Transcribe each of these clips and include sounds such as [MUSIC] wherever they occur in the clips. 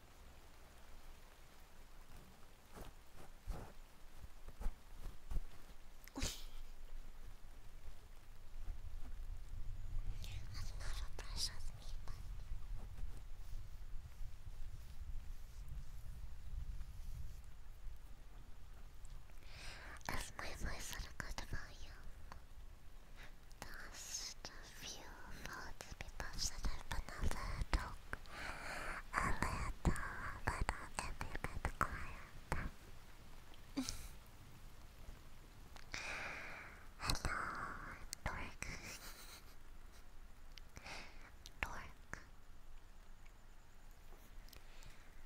That's not a precious meat bun. Is my voice at a good volume? Just a few votes because should have another joke. A little, a little, and a quiet. Hello, dork. dork.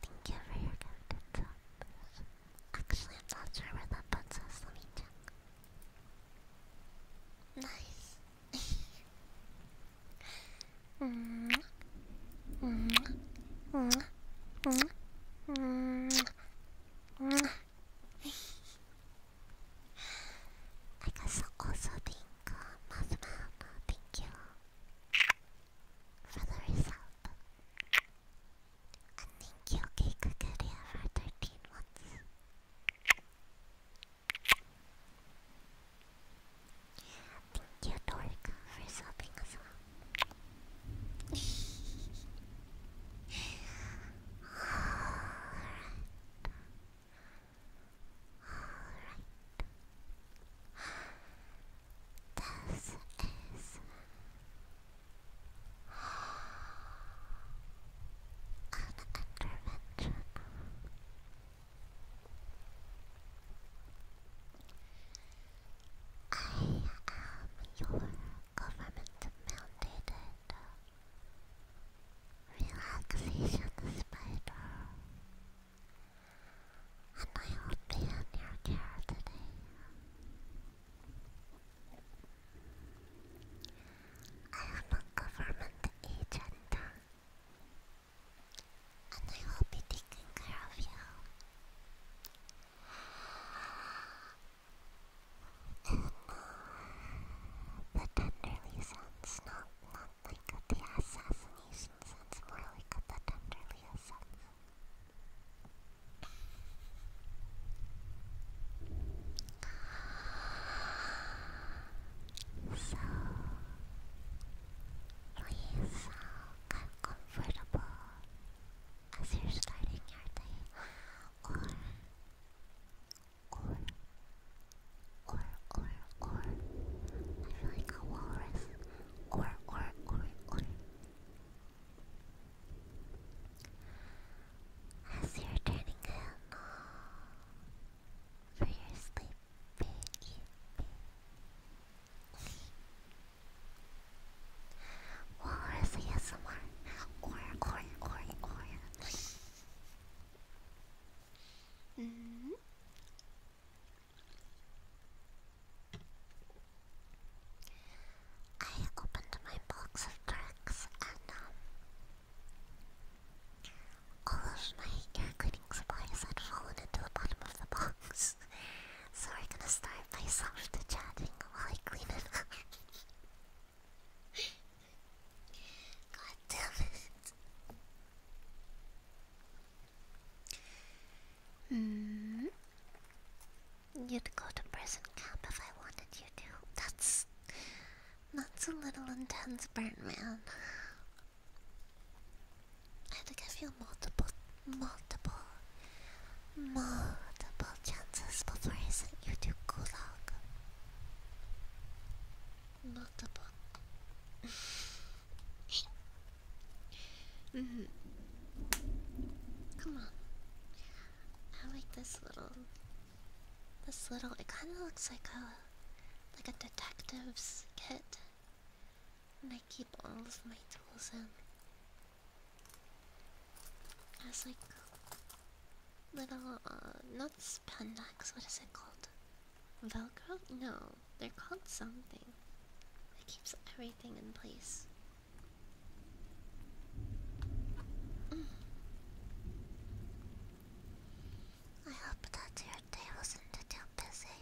Thank you for your gifted Actually, I'm not sure where that puts us. Let me check. Nice. mm -hmm. Mm -hmm. Mm -hmm. I guess I'll also thank uh, Mothman, thank you for the result. And thank you, Cake for 13 months. [LAUGHS] Thank you, Dork, for subbing us up. Alright. Alright. This is an intervention. I am your government-mandated relaxation spider, and I will be in your care today. I am a government agent and I will be taking care of you. And uh, the tenderly sounds not, not like the assassination sounds more like the tenderly sounds. So please uh, comfortable as you're starting your day, or or or or or I feel like a walrus, or or or or as you're turning in for your sleep baby. Walrus ASMR or -hmm. I opened my box of tricks and um, all of my cleaning supplies had fallen into the bottom of the box. [LAUGHS] so we're gonna start by soft chatting while I clean it up. [LAUGHS] God damn hmm. You'd go to prison camp if I wanted you to. That's that's a little intense, Birdman. I had to give multiple, multiple, multiple chances before I sent you to Gulag. Multiple. [LAUGHS] Mm-hmm. Come on. I like this little this little, it kind of looks like a, like a detective's kit. And I keep all of my tools in. As like little, uh, not spandex, what is it called? Velcro? No, they're called something. It keeps everything in place. Mm. I hope that your day wasn't too busy.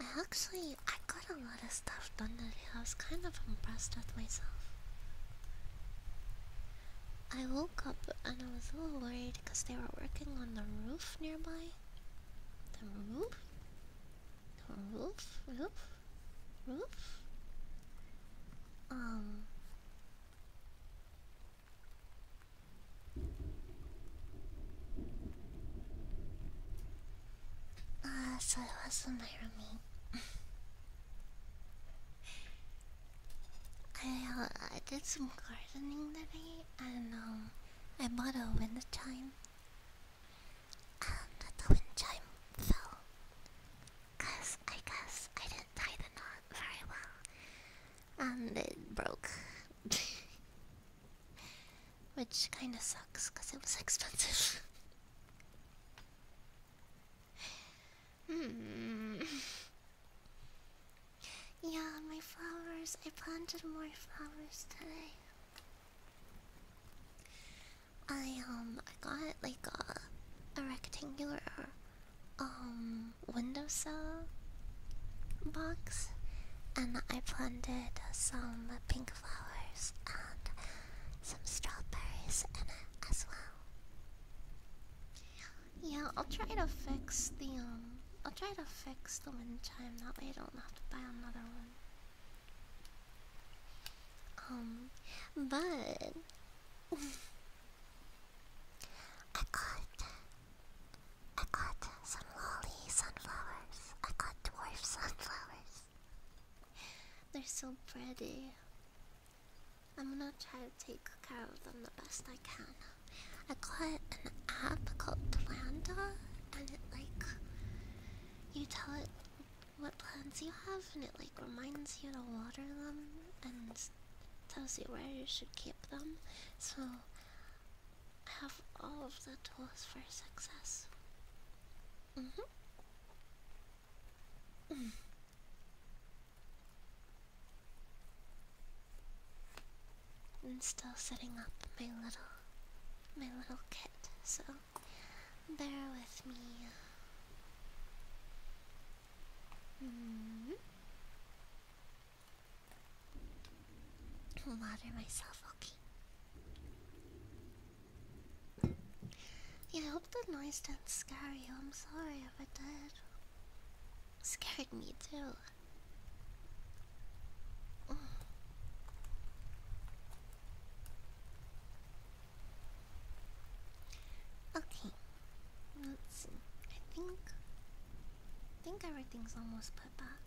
I actually I got a lot of stuff done today. I was kind of impressed with myself. I woke up and I was a little worried because they were working on the roof nearby. The roof? The roof? Roof? Um. Uh, so it wasn't Irony. [LAUGHS] I uh, I did some gardening today, and um, I bought a wind chime, and the wind chime fell. Cause I guess I didn't tie the knot very well, and um, it broke, [LAUGHS] which kind of sucks because it was expensive. [LAUGHS] Hmm. Yeah, my flowers. I planted more flowers today. I um I got like a a rectangular um windowsill box and I planted some pink flowers and some strawberries in it as well. Yeah, I'll try to fix the um I'll try to fix the wind chime that way I don't have to buy another one. Um but I got I got some lolly sunflowers. I got dwarf sunflowers. They're so pretty. I'm gonna try to take care of them the best I can. I got an app called Planda and it like you tell it what plants you have, and it like reminds you to water them and tells you where you should keep them. So I have all of the tools for success. Mm hmm. Mm. I'm still setting up my little my little kit, so bear with me i mm-hmm. water myself, okay. I hope the noise didn't scare you. I'm sorry if it did. scared me too. Okay, let's see. I think, I think everything's almost put back.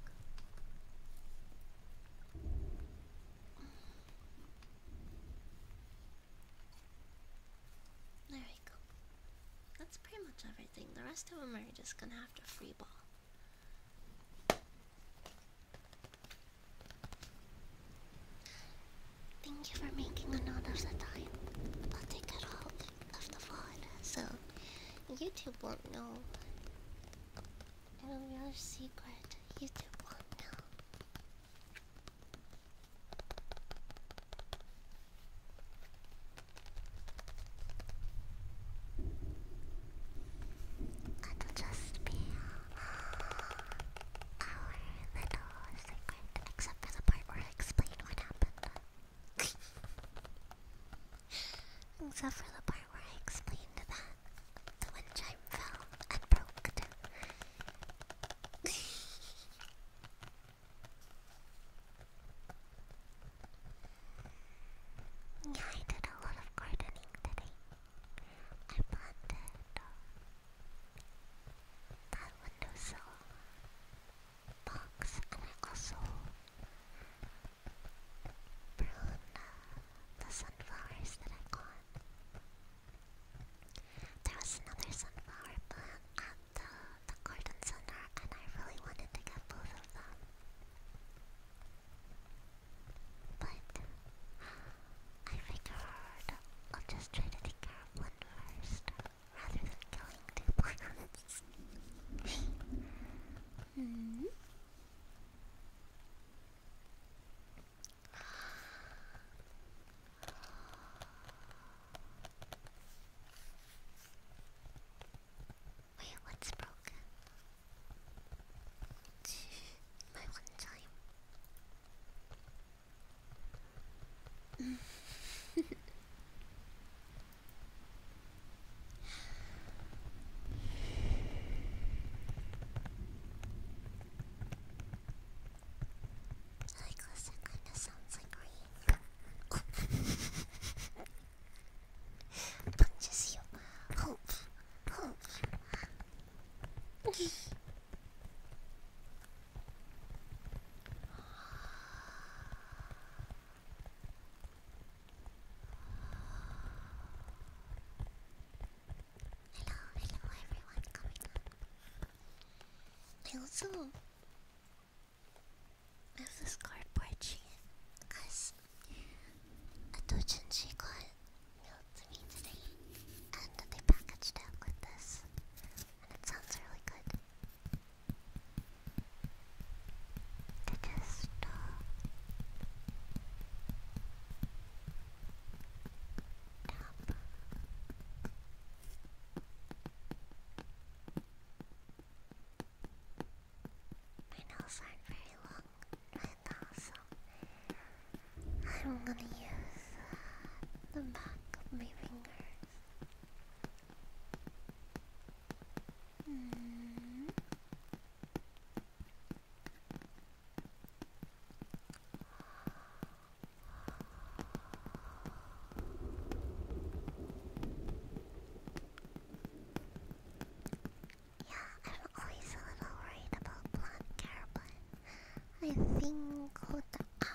There we go. That's pretty much everything. The rest of them are just gonna have to free ball. Thank you for making a note of the time. I'll take it all of the VOD, so YouTube won't know. It'll be our secret. YouTube won't know. It'll just be our little Except for the part where I explain what Except for the part where I explained that the wind chime fell and broke. yeah, I did a lot of gardening today. I planted my windowsill box, and I also prune the sunflowers that I got. There was another sunflower plant at the, the garden center, and I really wanted to get both of them. But I figured I'll just try to take care of one first, rather than going to. [LAUGHS] plants. hmm. Wait, what's broken? My one time like listen, kind sounds like rain. [LAUGHS] Punches you. Hope, hope. [LAUGHS] hello everyone coming on. I also have this cardboard chain because a Dojinshi got mailed to me today and they packaged it with this it sounds really good. I just tap. My nails aren't very long right now, so I'm gonna use uh, the back of my finger shoulders. Hmm. Yeah, I'm always a little worried about blonde hair, but I think hold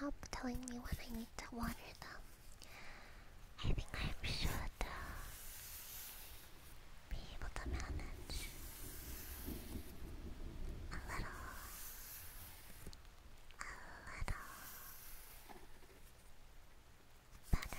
up telling me when I need to water them. I think I am should uh, be able to manage a little, a little better.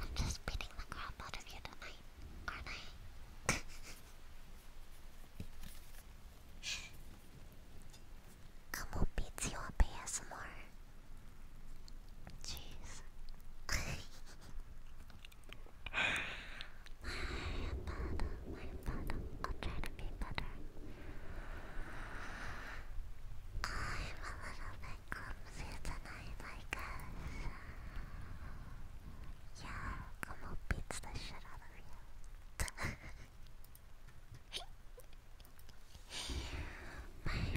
I'm just beating the crap out of you tonight, aren't I? Come on, beats you up ASMR. Jeez. [LAUGHS] father, my father, I'll try to be better. I'm a little bit clumsy tonight, I guess. Yeah, Como beats the shit out of you. my father.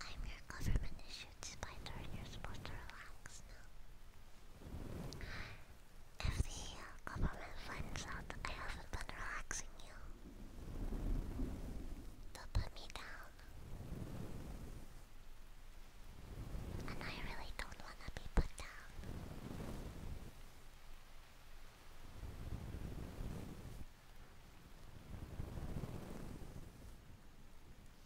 Remember, I'm your government issue. It's my turn. You're supposed to relax now. If the uh, government finds out I haven't been relaxing you, they'll put me down. And I really don't want to be put down.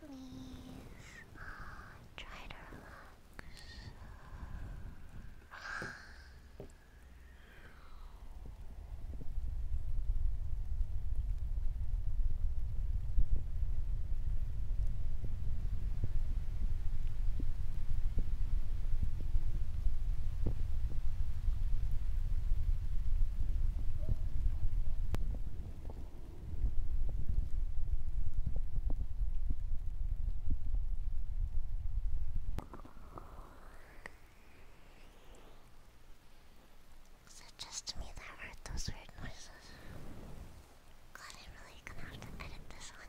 Please try to Relax. Is it just me that heard those weird noises? God, I'm really gonna have to edit this one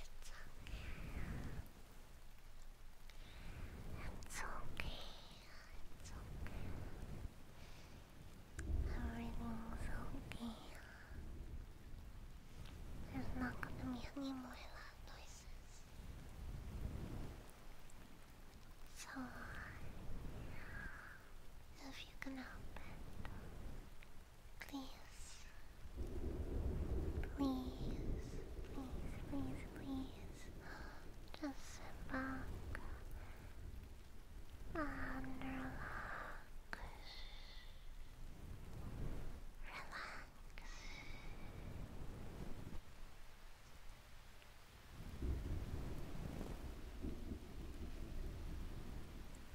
It's okay. It's okay. Everything's okay. There's not gonna be any more loud noises. So, if you can help it, Please. Please, please, please, please. Just sit back and relax. Relax.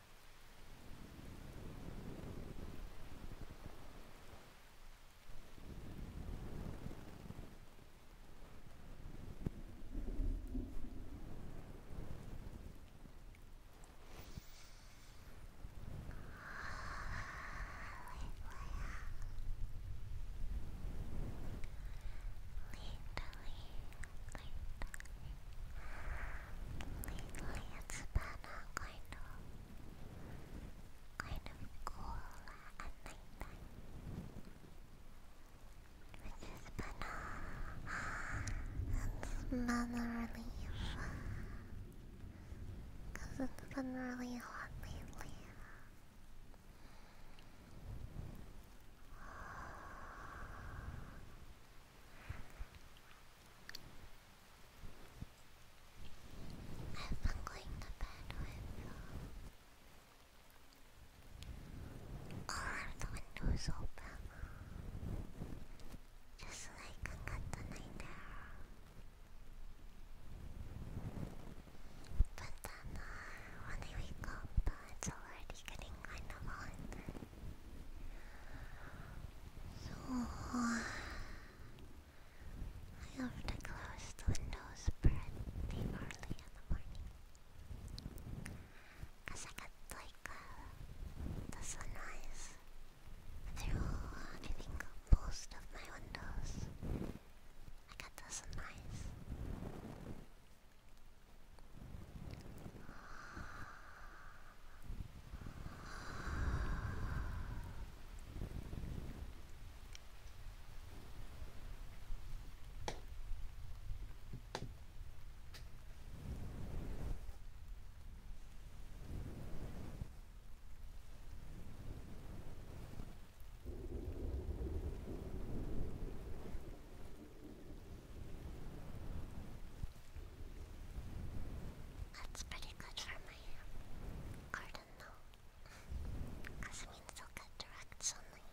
Literally, literally, it's been a kind of kind of cool at night time. Which has been uh, it's it it's been really hot lately. I've been going bed with all of the windows open, just so I can get the night air. But then uh, when I wake uh, it's already getting kind of hot. So, uh, I have to close the windows pretty early in the morning. Cause I got like uh, the sunrise through I think most of my windows. I got the sunrise. That's pretty good for me. I don't know. Kasmin's so good directionally.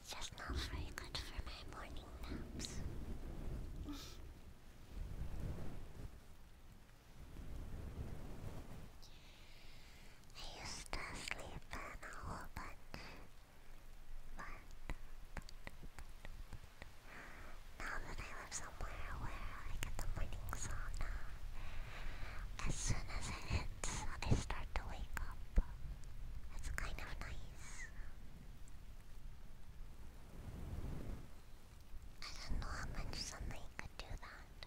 It's just not very good for my morning naps. I used to sleep in a whole bunch. Now that I live somewhere where I get the morning sauna, as soon as it hits, I start to wake up. It's kind of nice. I don't know how much sunlight could do that.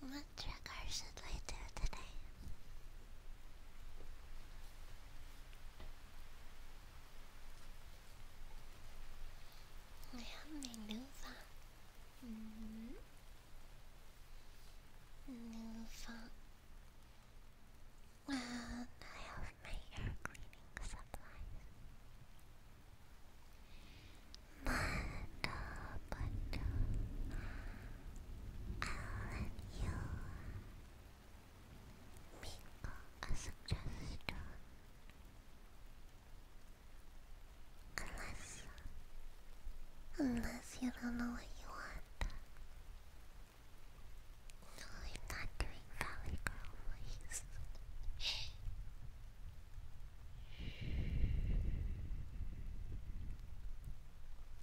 What trigger should I do today? I have Nuva. Mm -hmm. Nuva. And I have my air cleaning supplies. But, uh, but I'll let you make a suggestion. Unless, unless you don't know what you want. No, I'm not doing Valley Girl voice.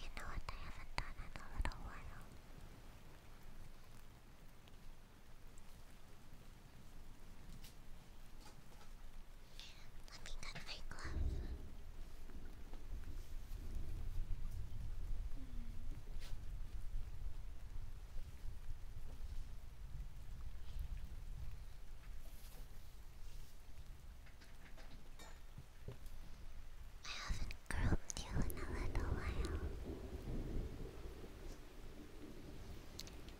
You know what I haven't done in a little while? Let me get my glove. I haven't groomed you in a little while.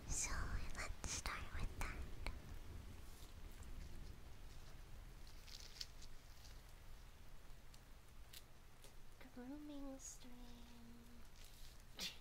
So let's start with that. Grooming stream. [LAUGHS]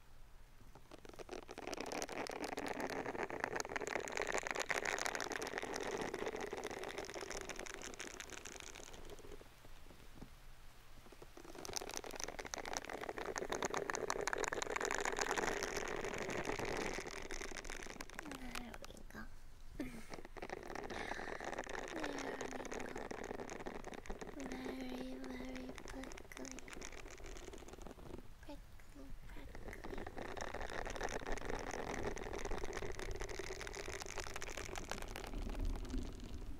we go. There [LAUGHS] we Very, very good prickly, prickly, that real good? -hmm.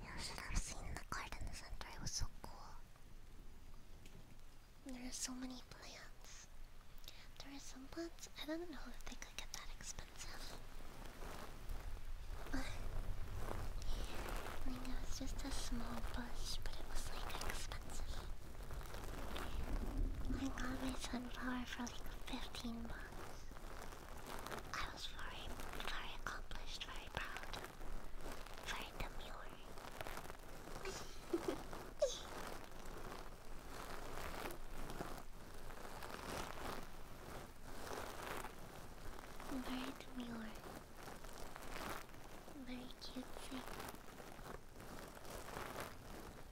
You should have seen the garden center, it was so cool. There are so many plants. There are some plants, I don't know if they could get that expensive. I like it was just a small bush, but it was like expensive. I got my sunflower for like 15 months, I was very, very accomplished, very proud, very demure. [LAUGHS] very demure. Very cutesy.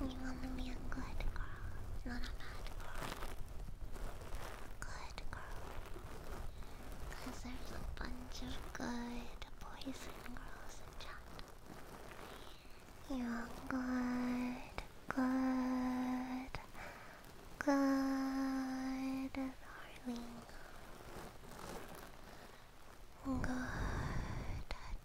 You want to be a good girl, not a bad girl. Good girl. Because there's a bunch of good boys and girls in chat. You're good, good, good, darling. Good, darling.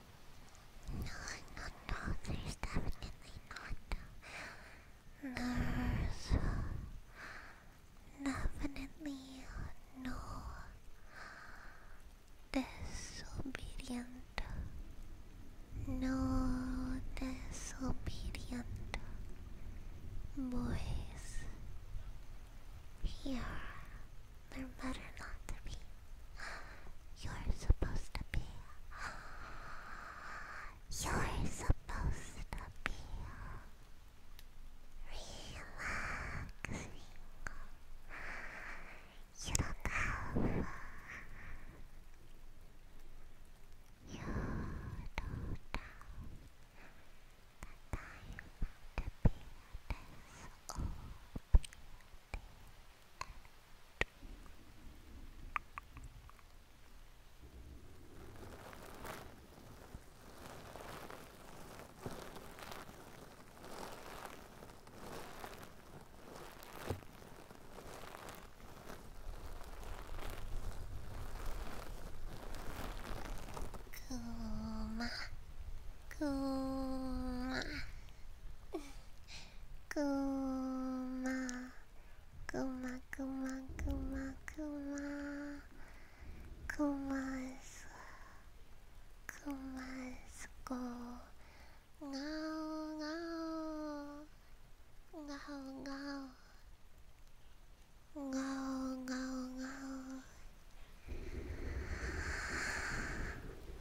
No, no, no, there's definitely not. There's definitely no disobedient. No disobedient boys here. There better not to be. You're supposed to be. You're supposed to be relaxing. You don't have. You don't have the time to be this open. Kuma, Kuma, くまくまくまくまくまくますくますこがおがおがおがおがおがおがお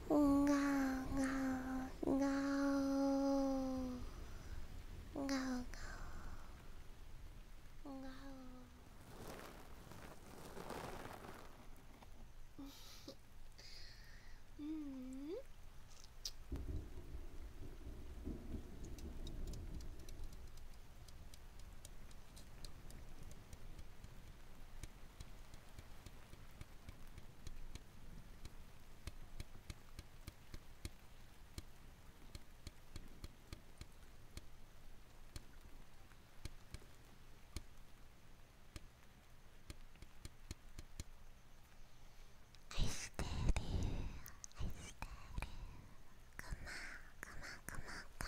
No, no, no, no, no. mm. 愛してる愛してるくまくまくま顔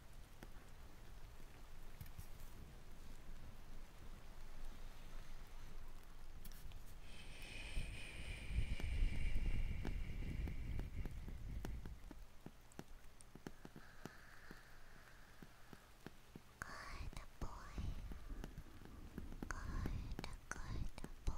Good boy. Good, good boy.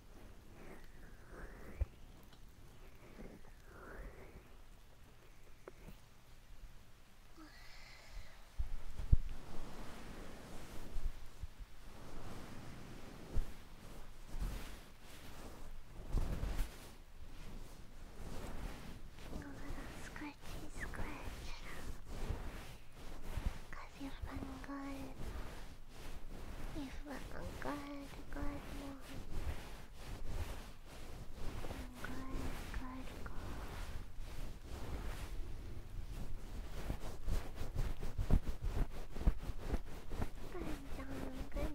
little scratchy scratch. Have you fun, good? You fun, good, good, mom. Good, good, good. Good job, good job. Good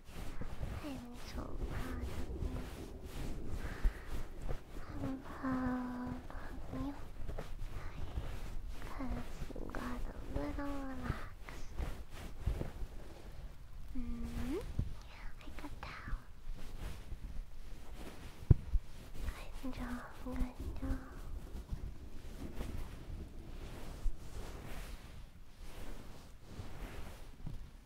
I'm 太丑了，好朋友，cause you got a little relaxed. Mm -hmm. I could tell. Good job, good job.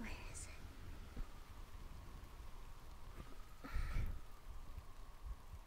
Where is it?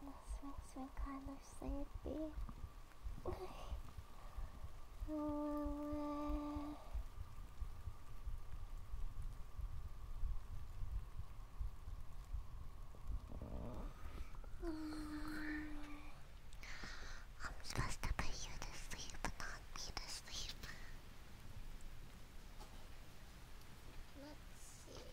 This makes me kind of sleepy. I'm supposed to put you to sleep, but not me to sleep. Let's see.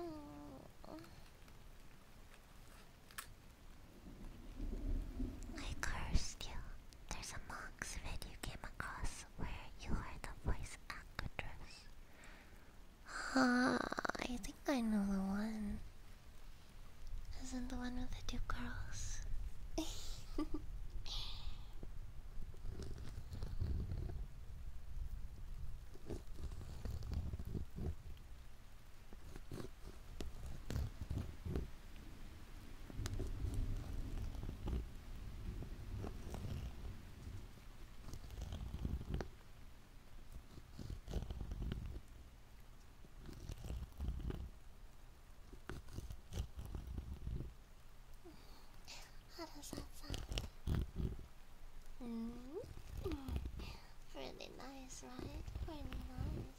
Oh, I cursed you. There's a monk's video came across where you are the voice actress Ah, I think I know the one. Isn't the one with the two girls? [LAUGHS] How does that mm. Really nice, right? Really nice.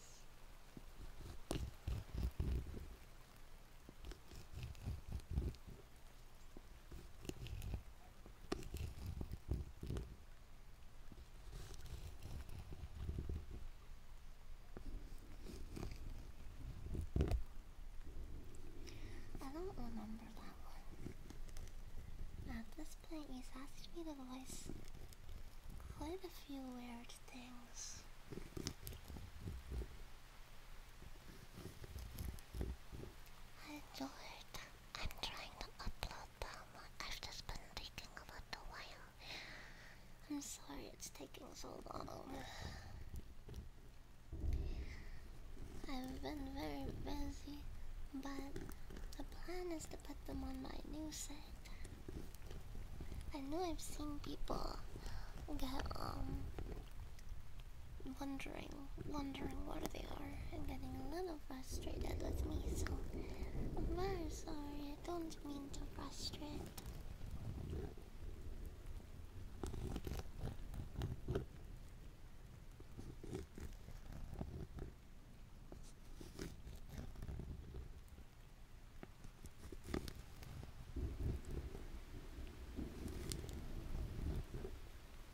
I don't remember that one. At this point, he's asked me to voice quite a few weird things. Hi George, I'm trying to upload them. I've just been taking a little while. I'm sorry it's taking so long. I've been very busy, but the plan is to put them on my new site. I know I've seen people get um wondering, wondering where they are and getting a little frustrated with me, so I'm very sorry, I don't mean to frustrate.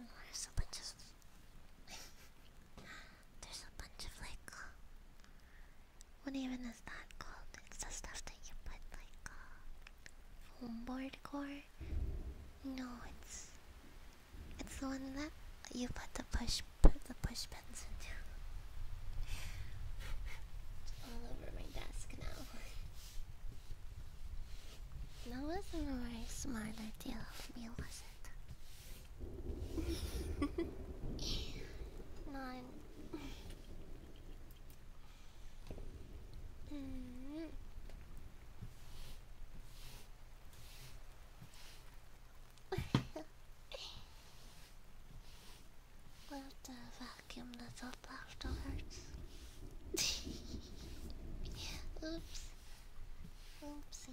Oh, there's a bunch of there's a bunch of like what even is that called? It's the stuff that you put like uh, foam board core no, it's it's the one that you put the push put the push pins into. [LAUGHS] All over my desk now. That wasn't a very smart idea of me, was it? [LAUGHS] None. Well, the vacuum that's up afterwards. Oops. Oopsie.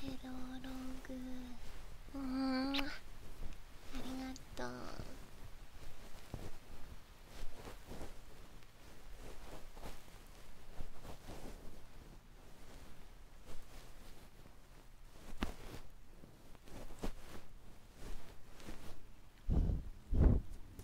セロログうんありがとう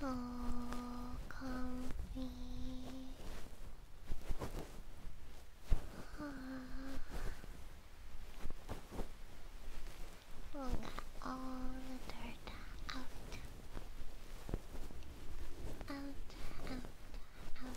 So comfy. We'll get all the dirt out. Out, out, out.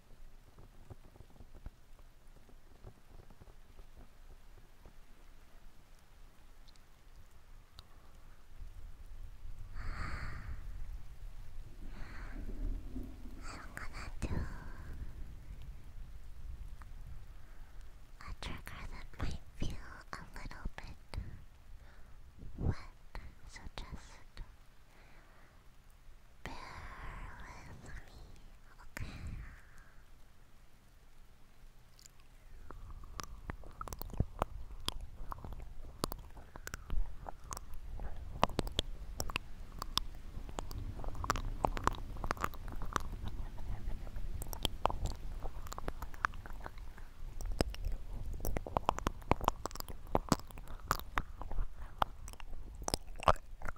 I'm gonna trigger that might feel a little bit wet, so just Bear with me, okay?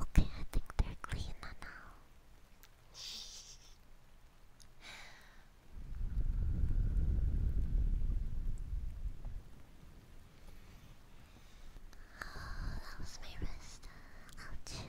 okay, I think they're cleaner now. [LAUGHS] Oh, that was my wrist. Ouch.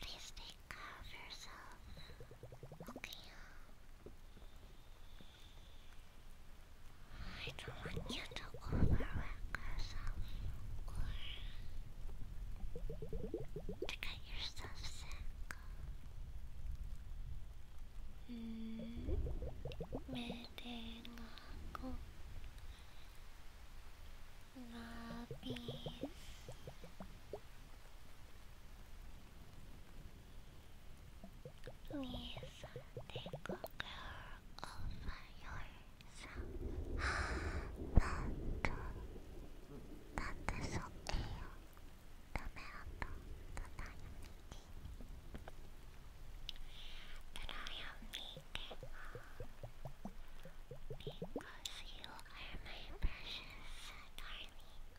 Please stay of herself. Okay. I don't want you to overwork yourself or to get yourself sick. Mm. Medelago Lapis Because you are my precious darling.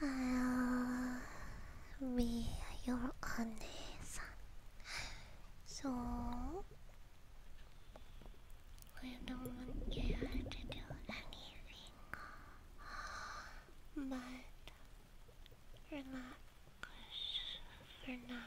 I'll be your honest. So I don't care to do anything, but relax for now.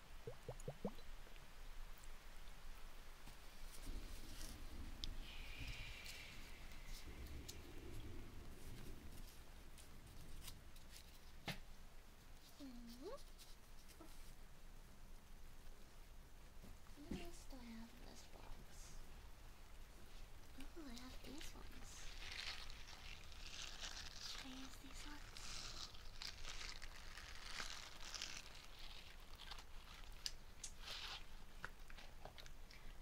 Mm -hmm. What else do I have in this box? Oh, I have these ones. Should I use these ones?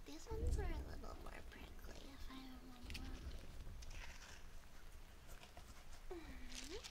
These ones are a little more prickly, More grooming gloves.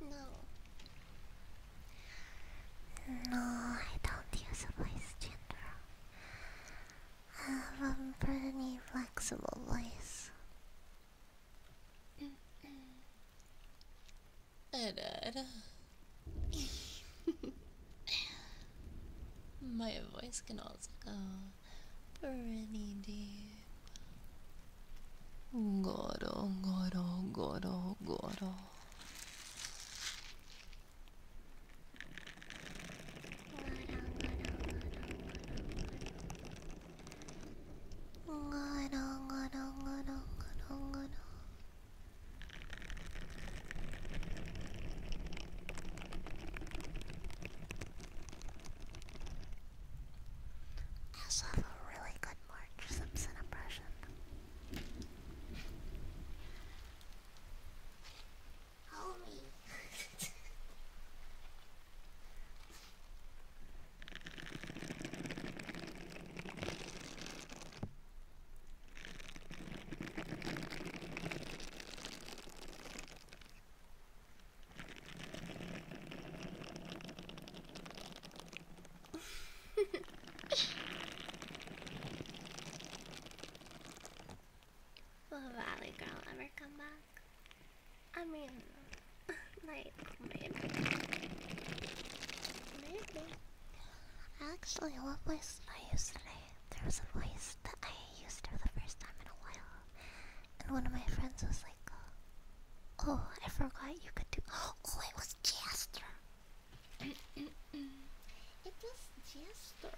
no. No, I don't use a voice changer. I have a pretty flexible voice. [LAUGHS] My voice can also go pretty deep. God, oh goro. Goro, goro, goro, goro, oh. I also have a really good March Simpson impression. Homie! [LAUGHS] [LAUGHS] [LAUGHS] Will Valley Girl ever come back? I mean, [LAUGHS] like, maybe. I actually love voice I used today. There was a voice that I used for the first time in a while. And one of my friends was like, "Oh, I forgot you could do." Oh, it was Jester. [CLEARS THROAT] it was Jester.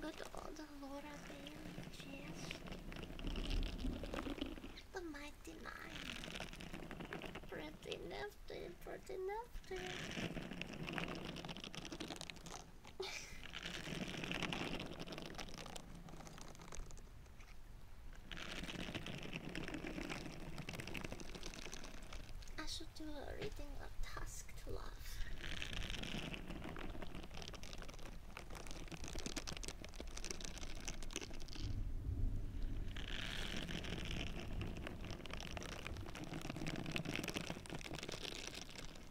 Good old Laura Bailey Jester. The mighty nine. Pretty nifty, pretty nifty. I should do a reading of Task to Love.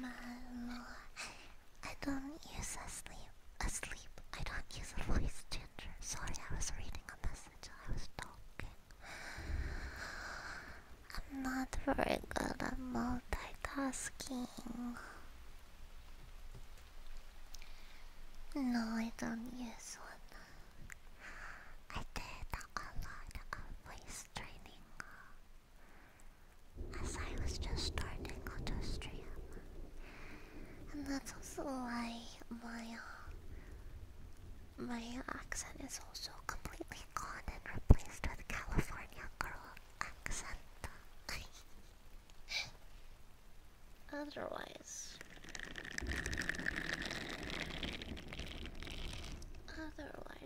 My lord. I don't use a sleep. I don't use a voice changer. Sorry, I was reading a message. I was talking. I'm not very good at multitasking. No, I don't use one. I did a lot of voice training as I was just starting on stream. And that's also why my uh, my accent is also completely gone and replaced with California girl accent. [LAUGHS] otherwise, otherwise.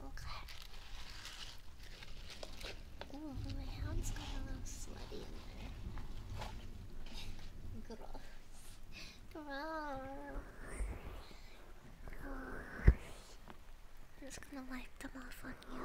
Okay. Oh, my hand's got a little sweaty in there. Good. Gross. I'm just gonna wipe them off on you.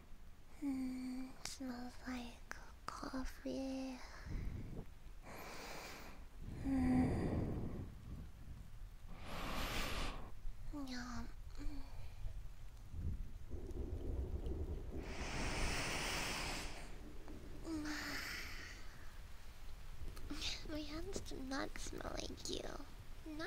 Mm, smells like coffee. Mm. Yum. My hands do not smell like you. No.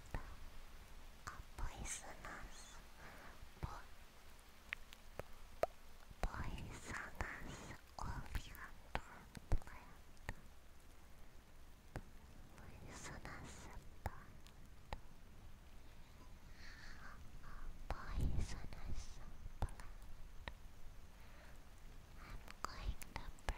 a poisonous po poisonous oleander plant. Poisonous plant. Poisonous plant. I'm going to brew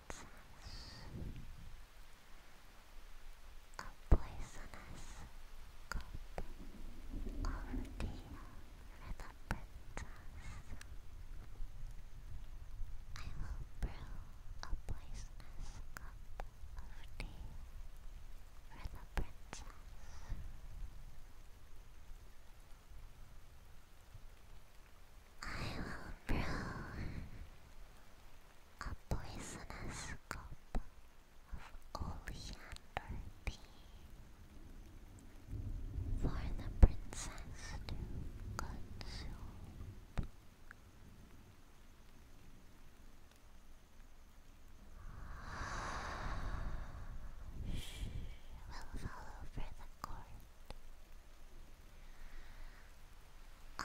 a poisonous cup of tea for the princess. I will brew a poisonous cup of tea for the princess. I will brew a poisonous cup of oleander tea for the princess She will follow for the corpse. I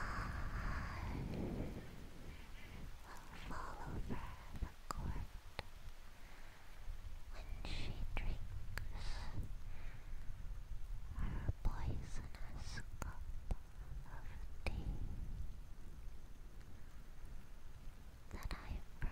will follow her the court when she drinks her poisonous cup of tea that I brewed.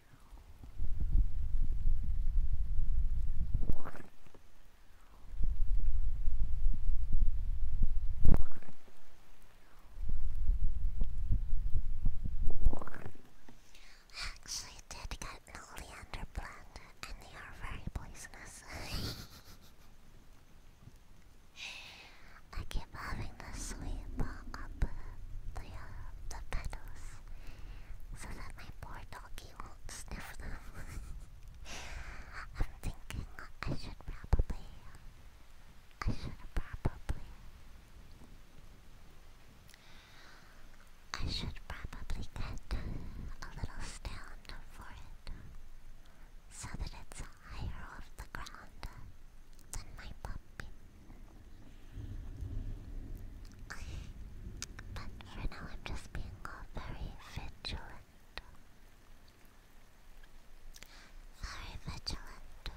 Actually, it did get an oleander plant, and they are very poisonous. [LAUGHS] I keep having to sweep up the, petals so that my poor doggy won't sniff them. [LAUGHS] I'm thinking I should probably, I should probably, I should probably get a little stand for it so that it's higher off the ground than my puppy. But for now, I'm just being very vigilant. Very vigilant.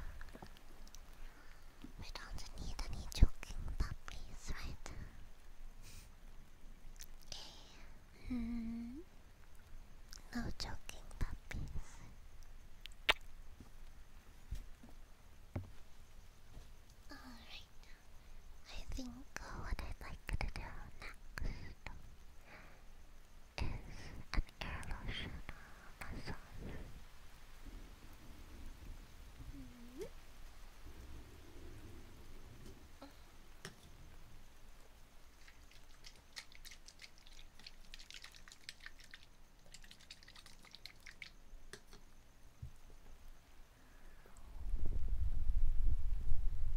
We don't need any joking puppies, right? Mm. No joking puppies. Alright. I think what I'd like to do next is an air lotion massage.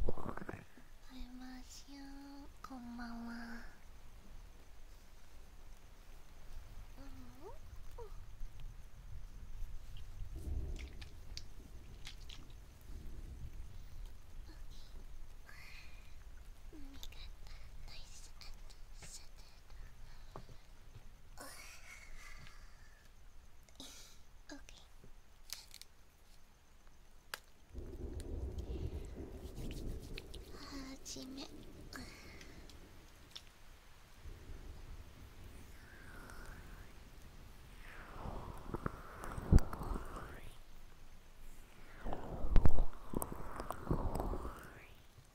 おいましゅんこんばんは okay. Ah, Jimmy.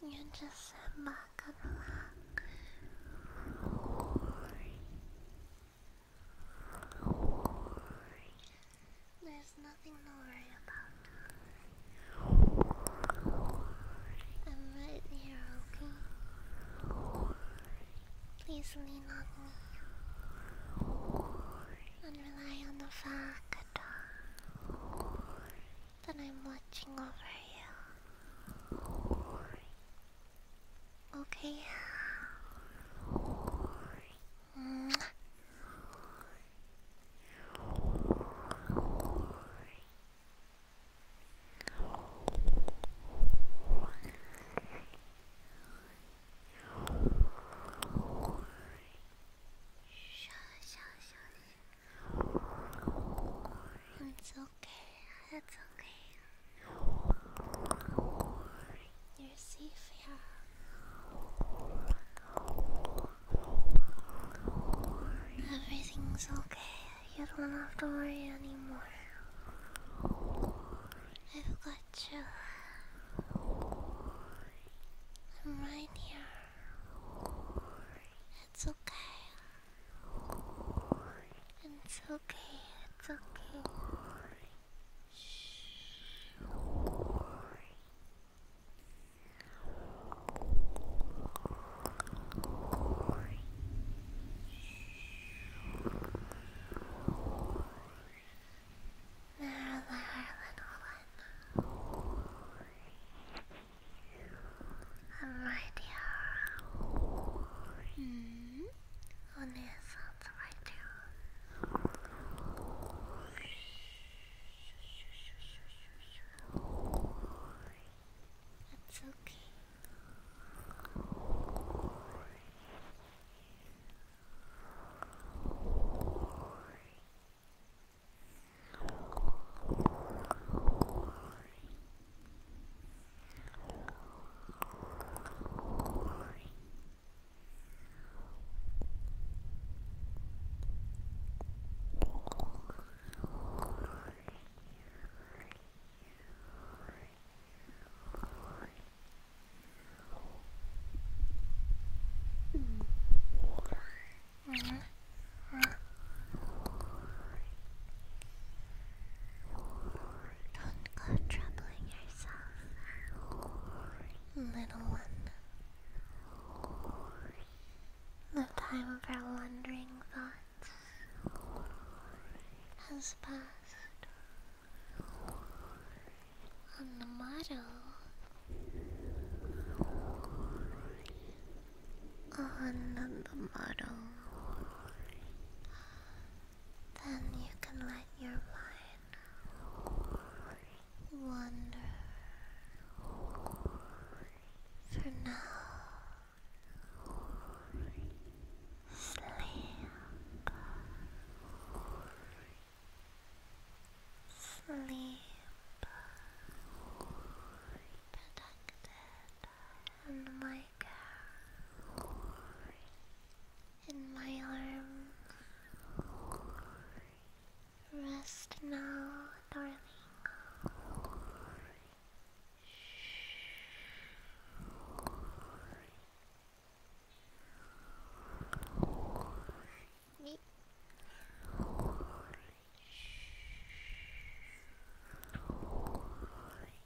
You're just a mom. There's nothing to worry about. I'm right here, okay? Please lean on me and rely on the fact that I'm watching over you. Okay. Mwah okay, that's okay. You're safe here. Everything's okay. You don't have to worry anymore. I've got you. I'm right here. It's okay. It's okay. It's okay. Shh. Marilyn, Marilyn, Marilyn. I'm right here. Mm. On the right here. That's okay. Mm. Uh -huh. Uh -huh. Don't go troubling yourself, little one. The time for wandering thoughts has passed. On the on the model, then you can let your mind wander. For now, sleep. Sleep protected in my arms. Rest now, darling.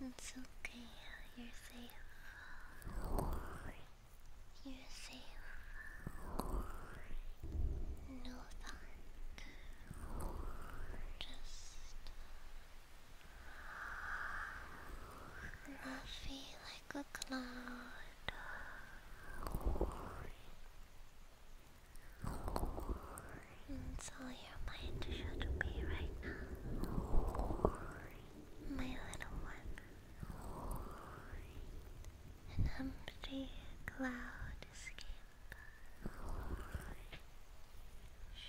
It's okay. It's okay. You're safe. You're safe. No Just love you like a cloud That's all your mind should be right now My little one An empty cloud escape Shh.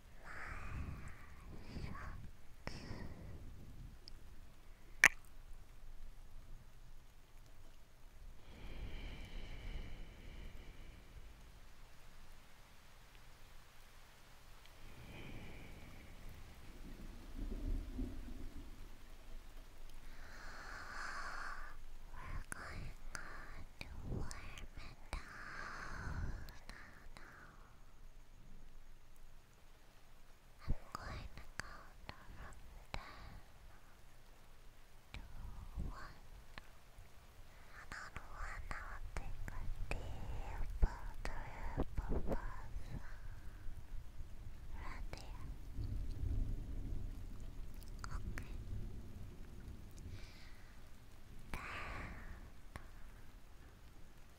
We're going to warm and down I'm going to count down ten to And I'll take a deep breath of us. Right there. Okay. Ten. Nine.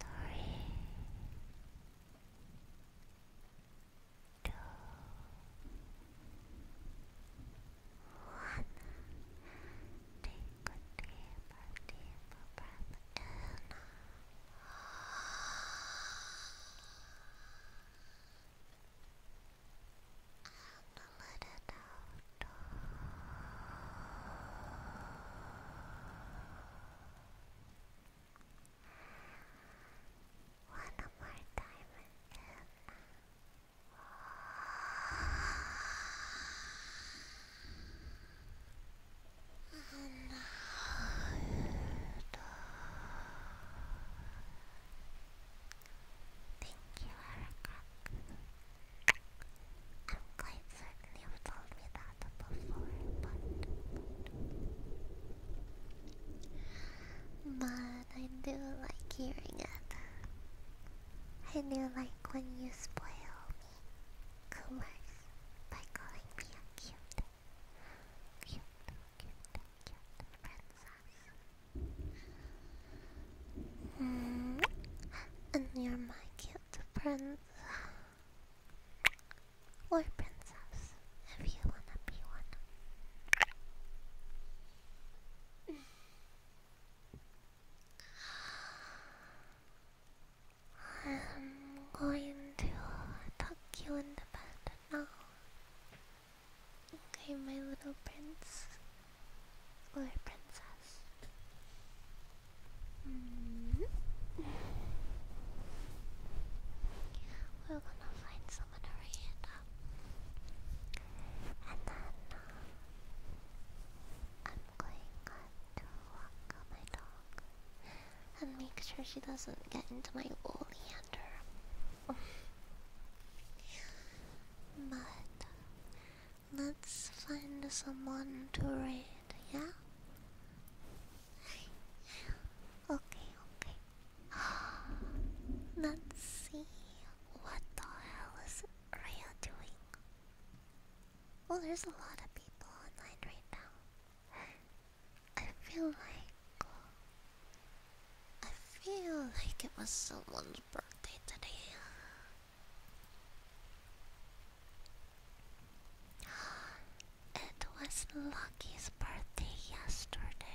three, two, one. Take a deep, deep breath in. And let it out. One more time and and Thank you, Erica. I'm quite sorry certainly have told me that before, but, I do like hearing it. I do like when you spoil me, Coomers, by calling me a cute, cute, cute, cute princess. Mm. And you're my cute prince. Little princess, if you wanna be one. I'm going to tuck you in the bed now. Okay, my little prince little princess. Mm-hmm. We're gonna find someone to ring up. And then uh, I'm going to walk my dog and make sure she doesn't get into my oleander. [LAUGHS] but let's find someone to read, yeah? Okay, okay. [GASPS] Let's see what the hell is Rhea doing. Well, there's a lot of people online right now. I feel like I feel like it was someone's birthday today. It was Lucky's birthday yesterday.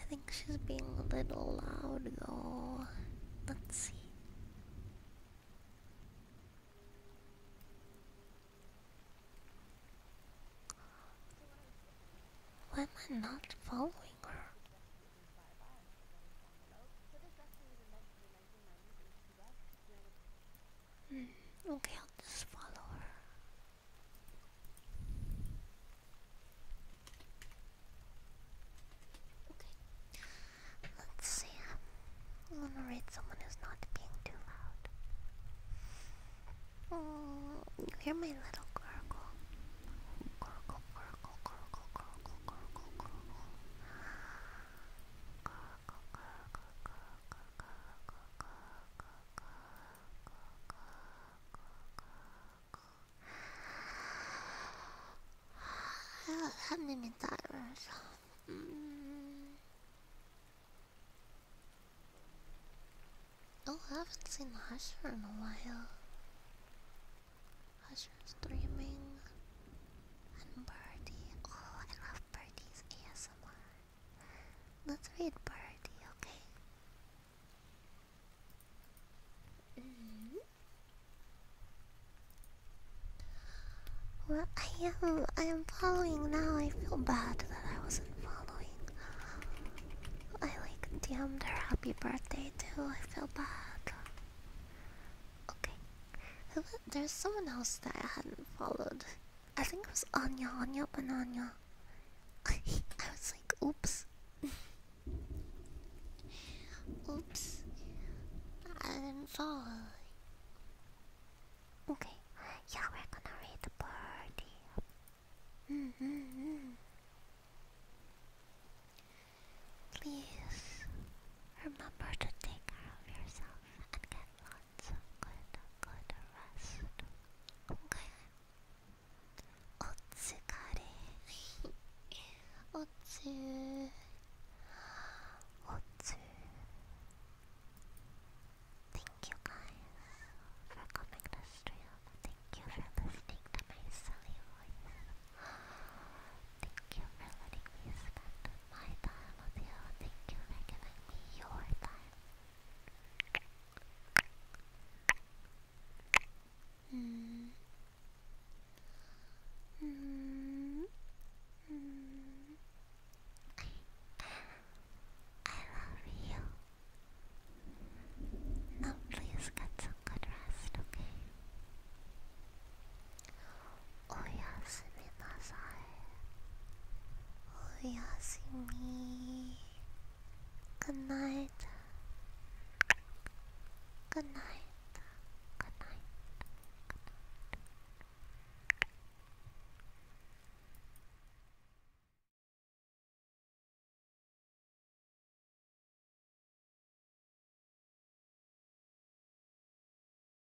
I think she's being a little loud though. Let's see. Why am I not following her? Mm, okay, I'll just follow her. Okay. Let's see. I'm to read someone who's not being too loud. Mm, you hear my little gurgle? Gurgle, gurgle, gurgle, gurgle, gurgle, gurgle. Gurgle, I don't have Oh, I haven't seen Hush for a while. Husher streaming and Birdie. Oh, I love of ASMR. Let's read Birdie, okay? Mm-hmm. Well, I am. I am following now. I feel bad that I wasn't following. I like DM'd her happy birthday too. I feel bad. Okay. There's someone else that I hadn't followed. I think it was Anya, Anya Anya. [LAUGHS] I was like, oops. [LAUGHS] oops. I didn't follow. Okay. Yeah, we're gonna read the party. Mm -hmm -hmm. Please remember to take care of yourself and get lots of good, good rest. Okay. Otsukare. Otsu. Otsu. Thank you guys for coming to stream. Thank you for listening to my silly voice. Thank you for letting me spend my time with you. Thank you for giving me your time. Mm. Mm. Mm. I love you. Now please get some good rest, okay? おやすみなさいおやすみくないだくないだくない